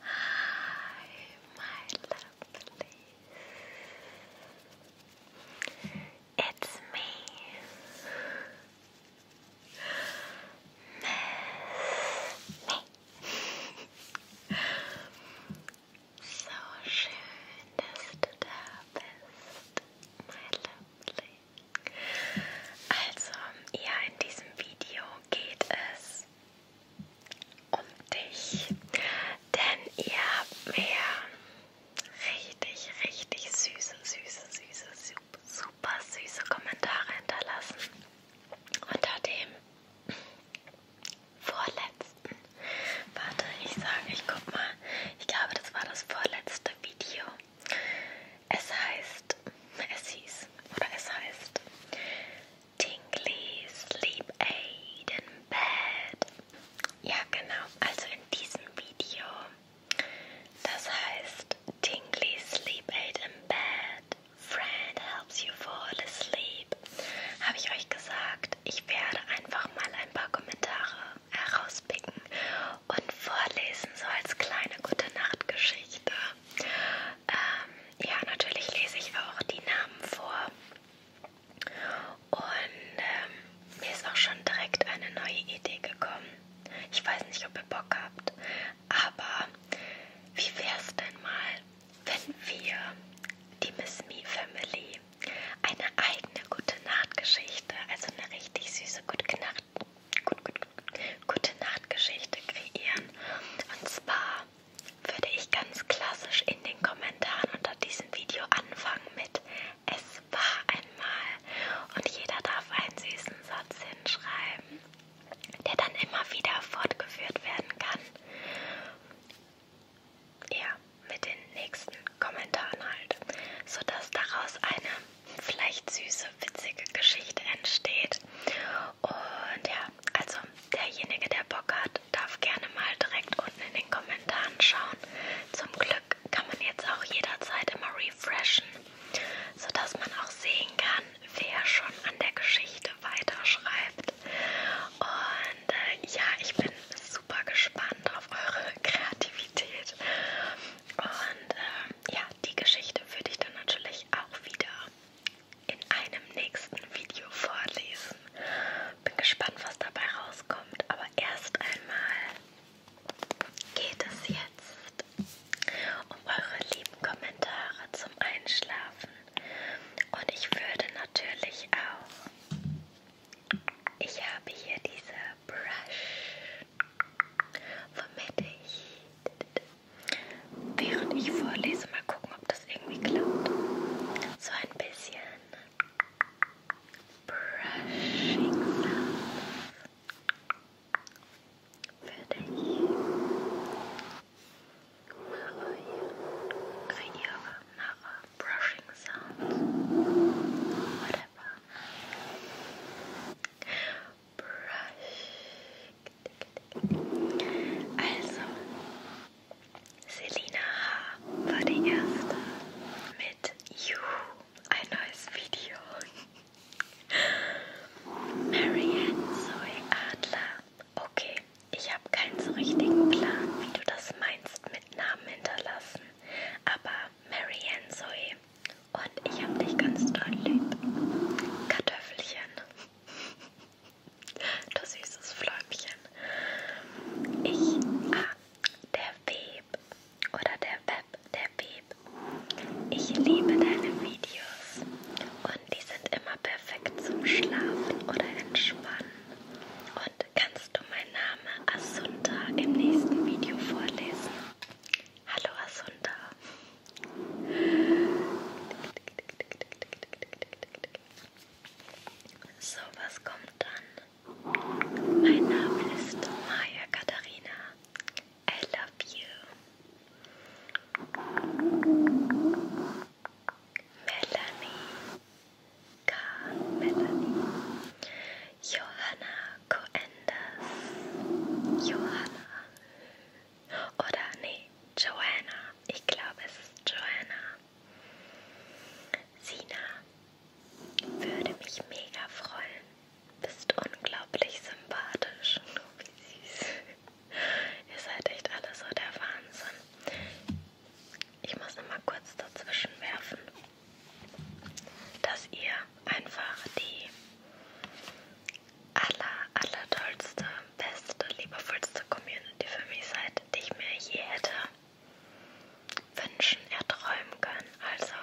Hi, my lovely. It's me, Miss Me. so schön, dass du bist, my lovely. Also, ja, in diesem Video geht es um dich, denn ihr habt mir richtig, richtig süße, süße, süße, super, super süße Kommentare hinterlassen unter dem vorletzten. Warte, ich sage, ich guck mal. Ich glaube, das war das vorletzte Video. Es heißt, es hieß, oder es heißt Tingly Sleep Aid in Bed. Ja, genau, also in diesem Video. Das heißt Tingly Sleep Aid in Bed. Friend helps you fall asleep. Habe ich euch gesagt, ich werde einfach mal ein paar Kommentare herauspicken und vorlesen, so als kleine gute Nachtgeschichte. Ähm, ja, natürlich lese ich auch die Namen vor. Und ähm, mir ist auch schon direkt eine neue Idee gekommen. Ich weiß nicht, ob ihr Bock habt, aber wie wär's denn mal, wenn wir, die Miss Me Family, eine eigene gute Nachtgeschichte, also eine richtig süße gute Nacht gut, gut, gut, gute Nachtgeschichte kreieren. Und zwar würde ich ganz klassisch in den Kommentaren unter diesem Video anfangen mit Es war einmal. Und jeder darf einen süßen Satz hinschreiben, der dann immer wieder fortgeführt werden kann. Ja, mit den nächsten Kommentaren halt, sodass daraus eine vielleicht süße, witzige Geschichte entsteht. Und ja, also derjenige, der Bock hat, darf gerne mal direkt unten in den Kommentaren schauen. Zum Glück kann man jetzt auch jederzeit immer refreshen, sodass man auch sehen kann, wer schon an der Geschichte weiterschreibt. Und äh, ja, ich bin super gespannt auf eure Kreativität. Und äh, ja, die Geschichte würde ich dann natürlich auch wieder in einem nächsten Video vorlesen. Bin gespannt, was dabei rauskommt, aber erst einmal geht es jetzt um eure lieben Kommentare zum Einschlafen. Und ich würde natürlich auch, ich habe hier diese Brush vermette ich. Während ich vorlese, mal gucken, ob das irgendwie klappt. So ein bisschen Brushing Sound für dich. Mache, kreiere, mache Brushing Sounds. Whatever brush. Also, Selina H. war die erste mit You, ein neues Video. Marianne Zoe Adler. Okay, ich habe keinen so richtigen Plan, wie du das meinst mit Namen hinterlassen. Aber Marianne Zoe und ich hab dich ganz doll lieb. Kartoffelchen. Du süßes Fläumchen. Ich, ah, der Web. Oder der Web, der Web. Ich liebe deine Videos. Und die sind immer perfekt zum Schlafen oder Entspannen. Und kannst du meinen Namen Asunta im nächsten Video vorlesen? Hallo Asunda. So, was kommt dann? Mein Name ist Maya Katharina. I love you. Melanie. K. Melanie. Johanna. Marco Enders, Johanna oder nee, Joanna. Ich glaube, es ist Joanna. Sina, würde mich mega freuen. Bist unglaublich sympathisch. Oh, wie süß. Ihr seid echt alle so der Wahnsinn. Ich muss noch mal kurz dazwischen werfen dass ihr einfach die aller, aller tollste, beste, liebevollste Community für mich seid, die ich mir je hätte wünschen, erträumen können. Also,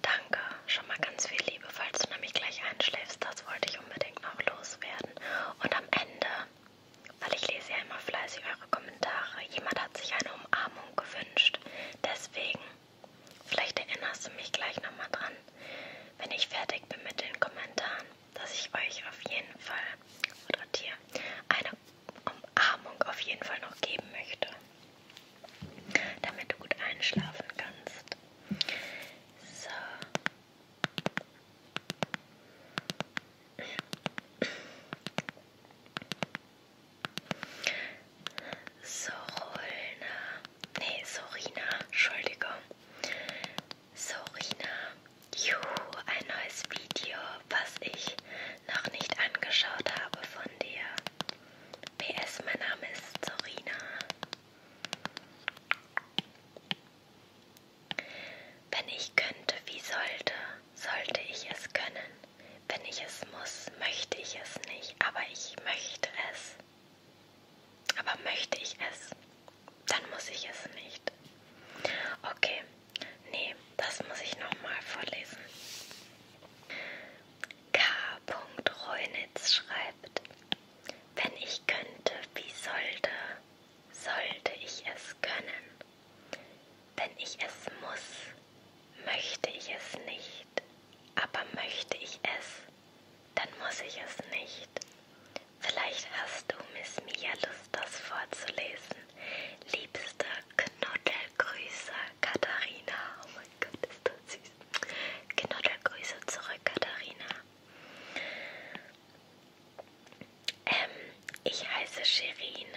danke. Schon mal ganz viel Liebe, falls du nämlich gleich einschläfst. Das wollte ich unbedingt noch loswerden. Und am Ende, weil ich lese ja immer fleißig eure Kommentare, jemand hat sich eine Umarmung gewünscht. Deswegen Vielleicht erinnerst du mich gleich nochmal dran, wenn ich fertig bin mit den Kommentaren, dass ich euch auf jeden Fall oder dir eine Umarmung auf jeden Fall noch geben möchte, damit du gut einschlafen kannst. So. Sorolna. Nee, Sorina, Entschuldigung. Sorina. Juhu, ein neues Video, was ich noch nicht angeschaut habe von dir. PS, mein Name ist Sorina. Wenn ich könnte, wie sollte, sollte ich es können. Wenn ich es muss, möchte ich es nicht, aber ich möchte es. Aber möchte ich es, dann muss ich es nicht. Okay, nee, das muss ich nochmal vorlesen. K. Reunitz schreibt, wenn ich könnte, wie sollte, sollte ich es können. Wenn ich es muss, möchte ich es nicht. Aber möchte ich es, dann muss ich es nicht. Vielleicht hast du, Miss Mia, Lust, das vorzulesen. Liebste Knuddelgrüße, Katharina. Oh mein Gott, ist das süß. Knuddelgrüße zurück, Katharina. Ähm, ich heiße Sherin.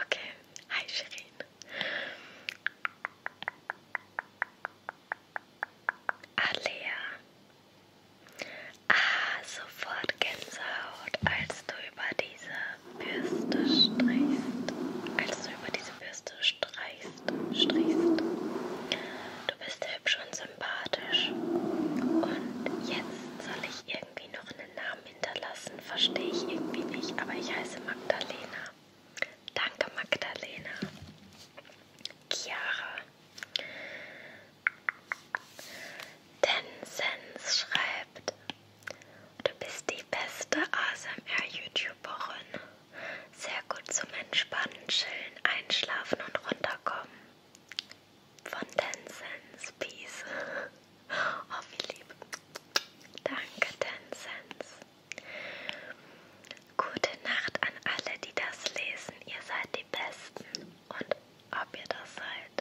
Okay, hi Shirin. Alea. Ah, sofort Gänsehaut, als du über diese Bürste streichst. Als du über diese Bürste streichst, strichst. Du bist hübsch und sympathisch. Und jetzt soll ich irgendwie noch einen Namen hinterlassen, verstehe ich irgendwie nicht, aber ich heiße Magdalena. Danke Magdalena. Chiara. Tensens schreibt, du bist die beste ASMR-YouTuberin. Sehr gut zum Entspannen, Chillen, Einschlafen und Runterkommen. Von Tensens. Peace. Oh, wie lieb. Danke, Tencents. Gute Nacht an alle, die das lesen. Ihr seid die Besten. Und ob ihr das seid.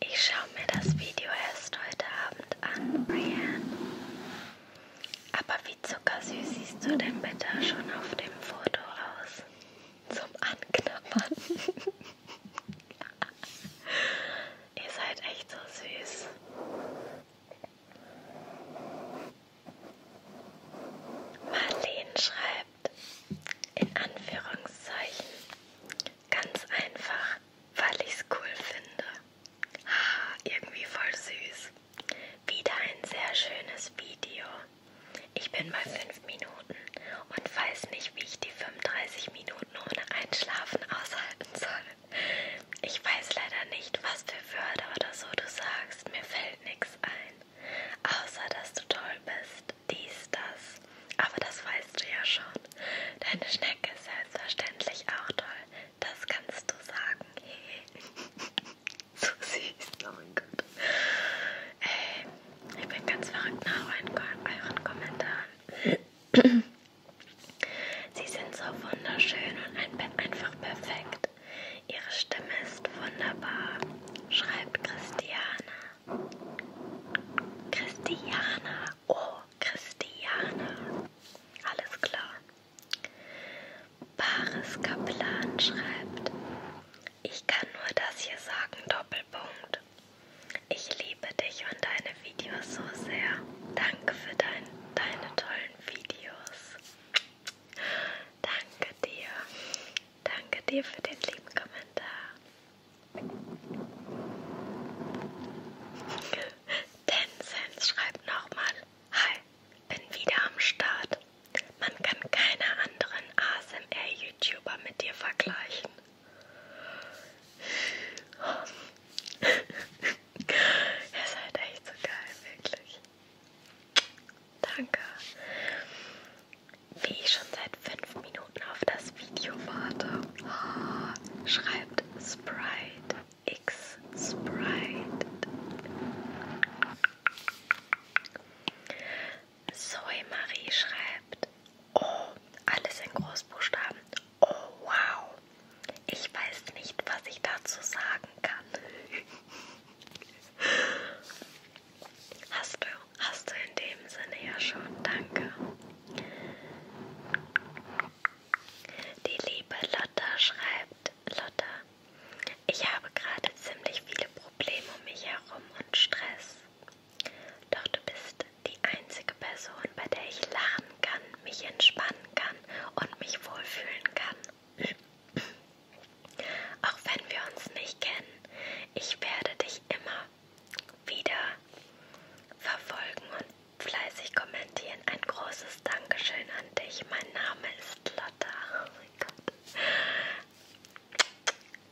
Ich schaue mir das Video erst heute Abend an, Brienne. Aber wie zuckersüß siehst du denn bitte schon auf dem Foto aus? zum Anknabbern. Ihr seid echt so süß. Marlene schreibt in Anführungszeichen ganz einfach, weil ich's cool finde. Ah, irgendwie voll süß. Wieder ein sehr schönes Video. Ich bin bei 5 Minuten und weiß nicht, wie ich die 35 Minuten ohne Einschlafen aushalten soll. Ich weiß leider nicht, was für Wörter oder so du sagst. Mir fällt nichts ein. Außer, dass du toll bist. Dies, das. Aber das weißt du ja schon. Deine Schnecke ist selbstverständlich auch toll. Das kannst du sagen. So süß, oh mein Gott. Ey, äh, ich bin ganz verrückt nach euren, euren Kommentaren. Sie sind so wunderschön und ein, einfach perfekt. Ihre Stimme ist wunderbar, schreibt Christiana. Christiana, oh Christiana. Alles klar. Baris Kaplan schreibt, ich kann nur das hier sagen, Doppelpunkt. Ich liebe dich und deine Videos so sehr. Danke für dein, deine tollen Videos. Danke dir. Danke dir für den lieben Kommentar. Tencent schreibt nochmal. Hi, bin wieder am Start. Man kann keine anderen ASMR-YouTuber mit dir vergleichen. Ihr seid echt so geil, wirklich. Danke. Wie ich schon seit 5 Minuten auf das Video warte, oh, schreibt Sprite X Sprite. Zoe Marie schreibt, oh, alles in Großbuchstaben. Oh, wow. Ich weiß nicht, was ich dazu sagen kann. Hast du, hast du in dem Sinne ja schon. Danke. Die liebe Lotta schreibt, Lotta, ich habe gerade ziemlich viele Probleme um mich herum und Stress. Doch du bist die einzige Person, bei der ich lachen kann, mich entspannen kann und mich wohlfühlen kann. Auch wenn wir uns nicht kennen, ich werde dich immer wieder verfolgen und fleißig kommentieren. Ein großes Dankeschön an dich. Mein Name ist Lotta. Oh mein Gott.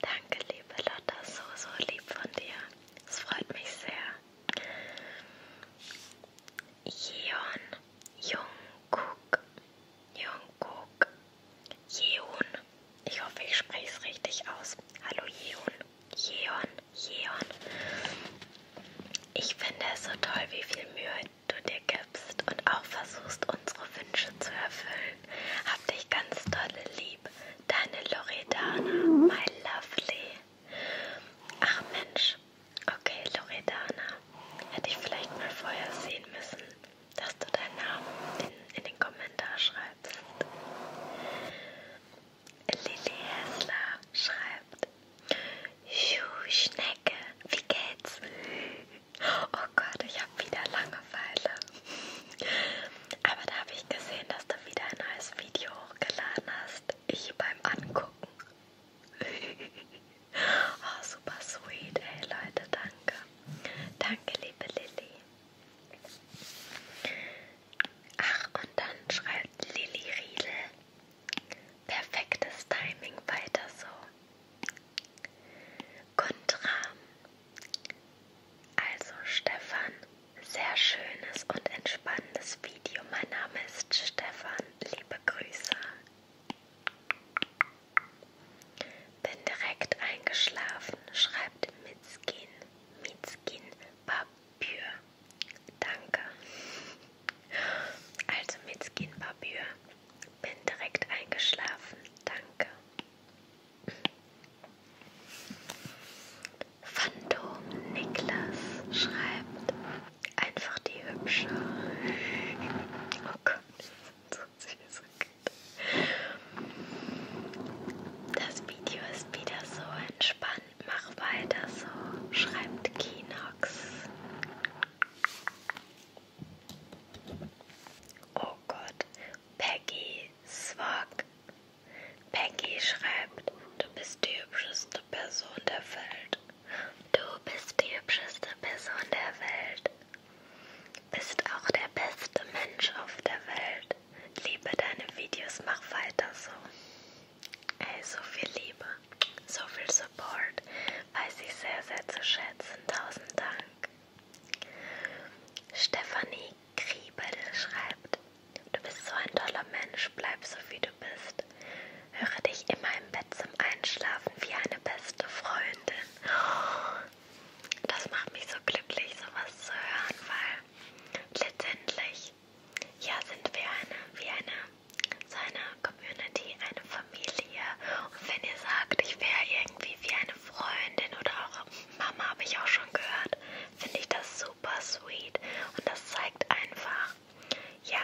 Danke, liebe Lotta, so, so lieb von dir. Es freut mich sehr. Jeon Jungkook. Jungkook. Jeon. Ich hoffe, ich spreche es richtig aus. Hallo Jeon. Jeon. Jeon. Ich finde es so toll, wie viel Mühe du dir gibst und auch versuchst, unsere Wünsche zu erfüllen. Hab dich ganz dolle lieb. Deine Loredana, my lovely. Ach Mensch, okay, Loredana. Hätte ich vielleicht mal vorher sehen müssen, dass du deinen Namen in, in den Kommentar schreibst. Lilly Hessler schreibt: Schuh, Schnecke, wie geht's? Oh Gott, ich habe wieder Langeweile. Aber da habe ich gesehen, dass du wieder ein neues Video hochgeladen hast. Ich beim Angucken. oh, super sweet, ey Leute, danke. Danke, liebe Lilly. Ach, und dann schreibt Lilly Riedel. Perfektes Timing, weiter so. Kontra. Also Stefan, sehr schönes und entspannendes Video. Mein Name ist Stefan. Liebe Grüße. Bin direkt eingeschlafen, schreibt Mitzkin. Mitzkin Babür. Danke. Also Mitzkin Babür bin direkt eingeschlafen, danke. Phantom Niklas schreibt einfach die hübsche. Oh Gott, das ist so süß. Das Video ist wieder so entspannt. Mach weiter so, schreibt Kinox. Oh Gott, Peggy Swag. Peggy schreibt, du bist die hübscheste Person der Welt. Du bist die hübscheste Person der Welt. Bist auch der beste Mensch auf der Welt. Liebe deine Videos, mach weiter so. Ey, so viel Liebe, so viel Support weiß ich sehr, sehr zu schätzen. Tausend Dank. Stefanie Kriebel schreibt, du bist so ein toller Mensch, bleib so wie du bist. Höre dich immer im Bett zum Einschlafen wie eine beste Freundin. Das macht mich so glücklich, sowas zu hören, weil letztendlich ja sind wir eine, wie eine, so eine Community, eine Familie. Und wenn ihr sagt, ich wäre irgendwie wie eine Freundin oder auch Mama, habe ich auch schon gehört, finde ich das super sweet. Und das zeigt einfach, ja,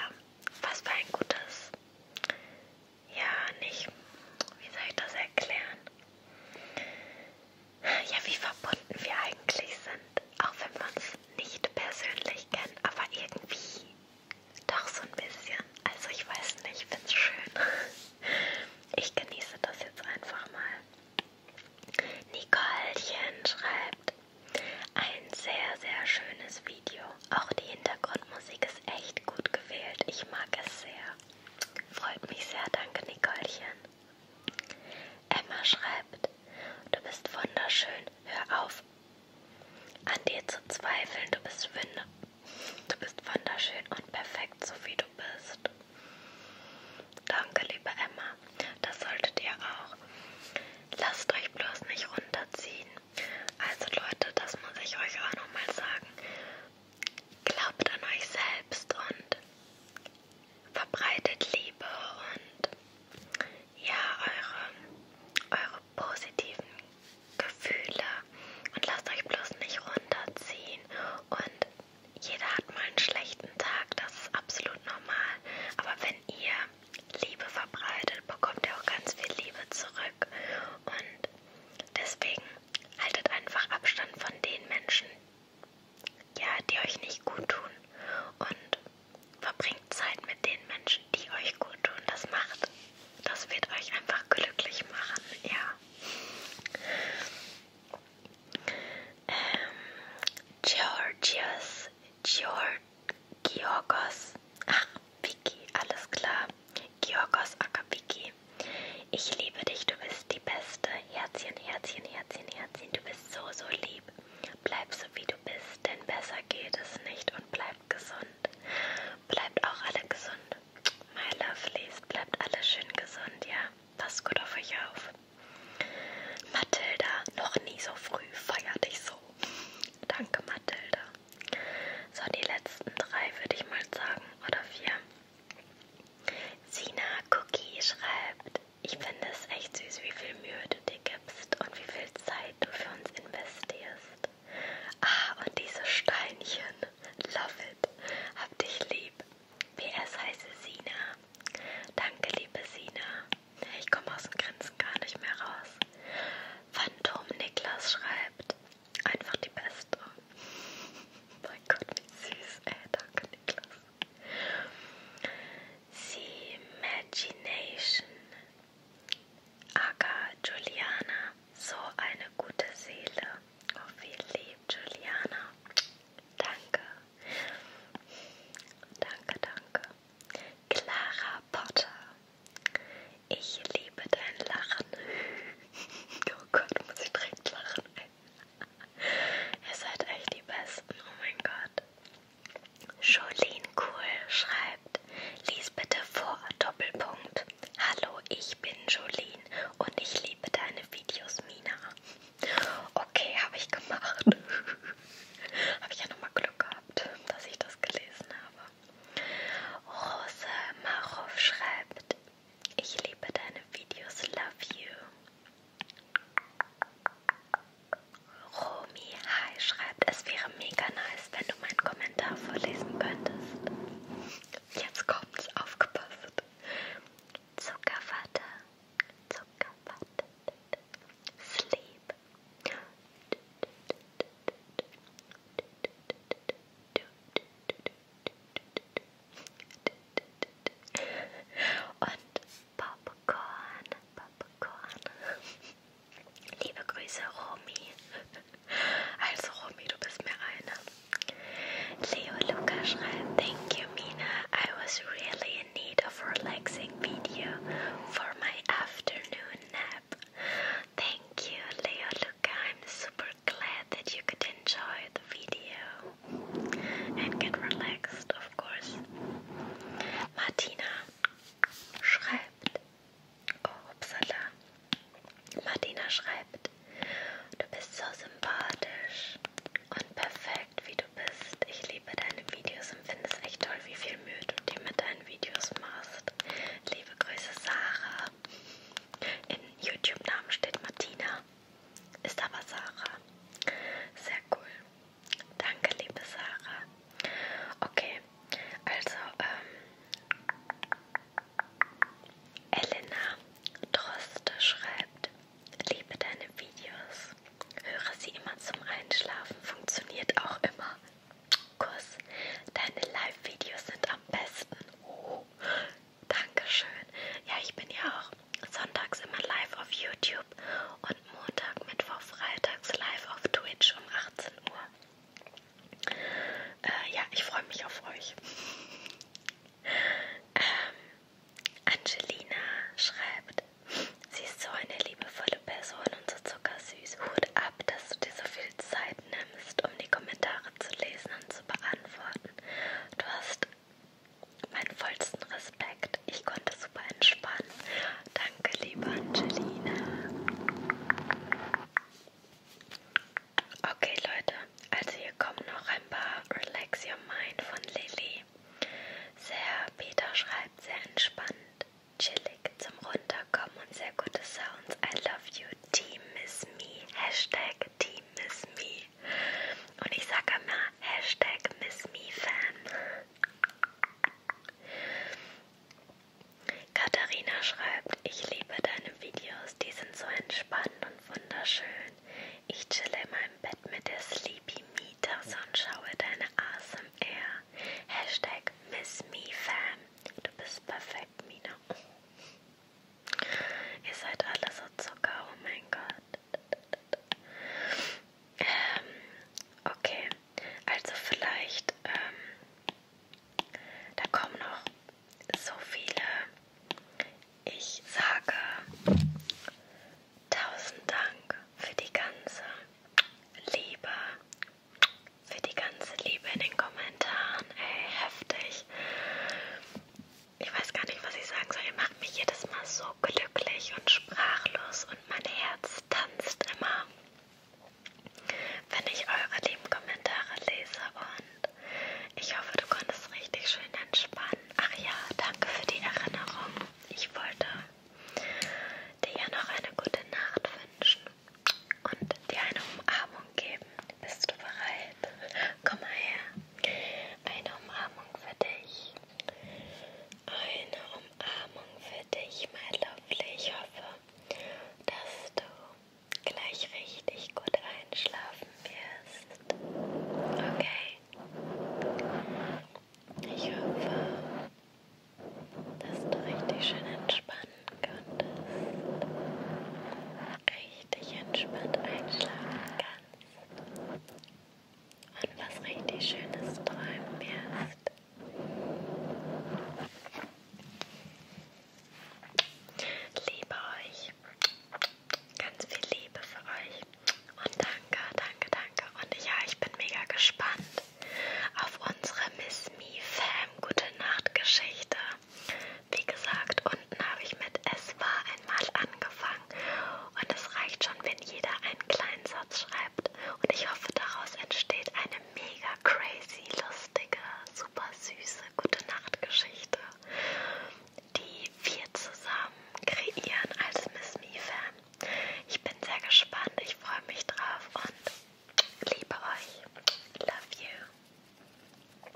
was für ein gutes, ja, nicht, wie soll ich das erklären? Ja, wie verbunden wir eigentlich sind, auch wenn wir uns nicht persönlich kennen, aber irgendwie doch so ein bisschen. Also ich weiß nicht, ich finde es schön. Ich genieße das jetzt einfach mal. Nicolechen schreibt ein sehr, sehr schönes Video. Auch die Hintergrundmusik ist echt gut gewählt. Ich mag es sehr. Freut mich sehr. Danke, Nicolechen. Emma schreibt, du bist wunderschön. Hör auf, an dir zu zweifeln. Du bist, du bist wunderschön und perfekt, so wie du bist. Danke, liebe Emma. Das solltet ihr auch. Lasst euch bloß nicht runterziehen. Also Leute, das muss ich euch auch nochmal sagen. Glaubt an euch selbst und verbreitet Liebe und ja, eure, eure eure positiven Gefühle und lasst euch bloß nicht runterziehen. Und jeder hat mal einen schlechten Tag, das ist absolut normal. Aber wenn ihr Liebe verbreitet, bekommt ihr auch ganz viel Liebe zurück. Und deswegen haltet einfach Abstand von den Menschen, ja, die euch nicht gut tun. Und verbringt Zeit mit den Menschen, die euch gut tun. Das macht das wird euch einfach glücklich machen, ja. Ähm, Georgios, Georg, Georgos, ach, Vicky, alles klar. Georgos Akaviki, ich liebe dich, du bist die Beste. Herzchen, Herzchen, Herzchen, Herzchen, du bist so, so lieb. Bleib so, wie du bist, denn besser geht es nicht und bleib bleibt gesund. Bleibt auch alle gesund. My lovelies, bleibt alle schön gesund, ja. Passt gut auf euch auf. Mathilda, noch nie so früh, feier dich so. Danke, Mathilda. So, die letzten drei würde ich mal sagen, oder vier. Sina Cookie schreibt, ich finde es echt süß, wie viel Mühe du dir gibst und wie viel Zeit du für uns investierst. Ah, und diese Steinchen. Love it. Hab dich lieb. PS heiße Sina. Danke, liebe Sina. Ich komme aus dem Grinsen gar nicht mehr raus. Phantom Niklas schreibt. Einfach die Beste. mein Gott, wie süß, ey. Danke, Niklas. The Imagination. Aga Juliana, so eine gute Seele. Oh, wie lieb, Juliana. Danke. Danke, danke. Clara Potter. Ich liebe dein Lachen. Oh Gott, muss ich direkt lachen. Ihr seid echt die Besten. Oh mein Gott. Jolene Cool schreibt schreibt, lies bitte vor, Doppelpunkt. Hallo, ich bin Jolene und ich liebe deine Videos, Mina. Okay, habe ich gemacht. habe ich ja nochmal Glück gehabt, dass ich das gelesen habe. Rose Marow schreibt, ich liebe deine Videos, love you. Romy Hai schreibt, es wäre wäre mega nice, wenn du meinen Kommentar vorlesen könntest. Jetzt kommt's, aufgepasst. Zuckerwatte, Zuckerwatte, Sleep. Und Popcorn, Popcorn. Liebe Grüße, Romy. Also, Romy, du bist mir eine. Leo Luca schreibt, thank you, Mina. I was really in need of a relaxing video for my afternoon nap. Thank you, Leo Luca. I'm super glad that you could enjoy the video and get relaxed, of course. Martina schreibt, Oh, upsala. Martina schreibt, du bist so sympathisch und perfekt, wie du bist. Ich liebe deine Videos und finde es echt toll, wie viel Mühe du dir mit deinen Videos machst. Liebe Grüße, Sarah. Im YouTube-Namen steht Martina, ist aber Sarah. Sehr cool. Danke, liebe Sarah. Okay, also, ähm, Elena Droste schreibt, liebe deine Videos, höre sie immer zum Einschlafen, funktioniert auch immer. Kuss, deine Live-Videos sind am besten. Oh, Dankeschön. Ja, ich bin ja auch sonntags immer live auf YouTube und Montag, Mittwoch, freitags live auf Twitch um 18 Uhr. Äh, ja, ich freue mich auf euch. Ähm, Angelina schreibt, sie ist so eine liebevolle Person und so zuckersüß. Hut ab, dass du dir so viel Zeit nimmst, um die Kommentare zu lesen und zu beantworten. Du hast meinen vollsten Respekt. Ich konnte super entspannen Danke, liebe Angelina. Okay, Leute, also hier kommen noch ein paar Relax Your Mind von Lilly. Sehr, Peter schreibt, sehr entspannt, chillig zum Runterkommen und sehr gute Sounds. I love you, Team Miss Me. Hashtag Team Miss Me. Und ich sage immer Hashtag Miss Me Fan. Katharina schreibt, ich liebe deine Videos, die sind so entspannend und wunderschön. Ich chille in meinem Bett mit der Sleepy Me Tasse und schaue deine ASMR. Hashtag MissMeFam. Du bist perfekt, Mina. Ihr seid alle so Zucker, oh mein Gott. Ähm, okay, also vielleicht ähm, da kommen noch so viele, ich sage tausend Dank für die ganze Liebe, für die ganze Liebe in den Kommentaren, ey, heftig. Ich weiß gar nicht, was ich sagen soll, ihr macht mich jedes Mal so glücklich und sprachlos und mein Herz tanzt immer wenn ich eure lieben Kommentare lese und ich hoffe, du konntest richtig schön entspannen. Ach ja, danke für die Erinnerung. Ich wollte dir ja noch eine gute Nacht wünschen und dir eine Umarmung geben. Bist du bereit? Komm mal her. Eine Umarmung für dich. Eine Umarmung für dich, mein Lovely. Ich hoffe, dass du gleich richtig gut einschlafen wirst. Okay? Ich hoffe, dass du richtig schön entspannen konntest. Richtig entspannt einschlafen kannst. Und was richtig Schönes träumen wirst. Liebe euch. Ganz viel Liebe für euch. Und danke, danke, danke. Und ja, ich bin mega gespannt auf unsere Miss Me Fam Gute Nacht Geschichte. Wie gesagt, unten habe ich mit Es war einmal angefangen. Und es reicht schon, wenn jeder einen kleinen Satz schreibt. Und ich hoffe, daraus entsteht eine eine mega crazy, lustige, super süße Gute Nacht Geschichte, die wir zusammen kreieren als Miss Me Fan. Ich bin sehr gespannt, ich freue mich drauf und liebe euch. Love you.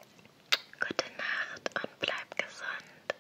Gute Nacht und bleibt gesund.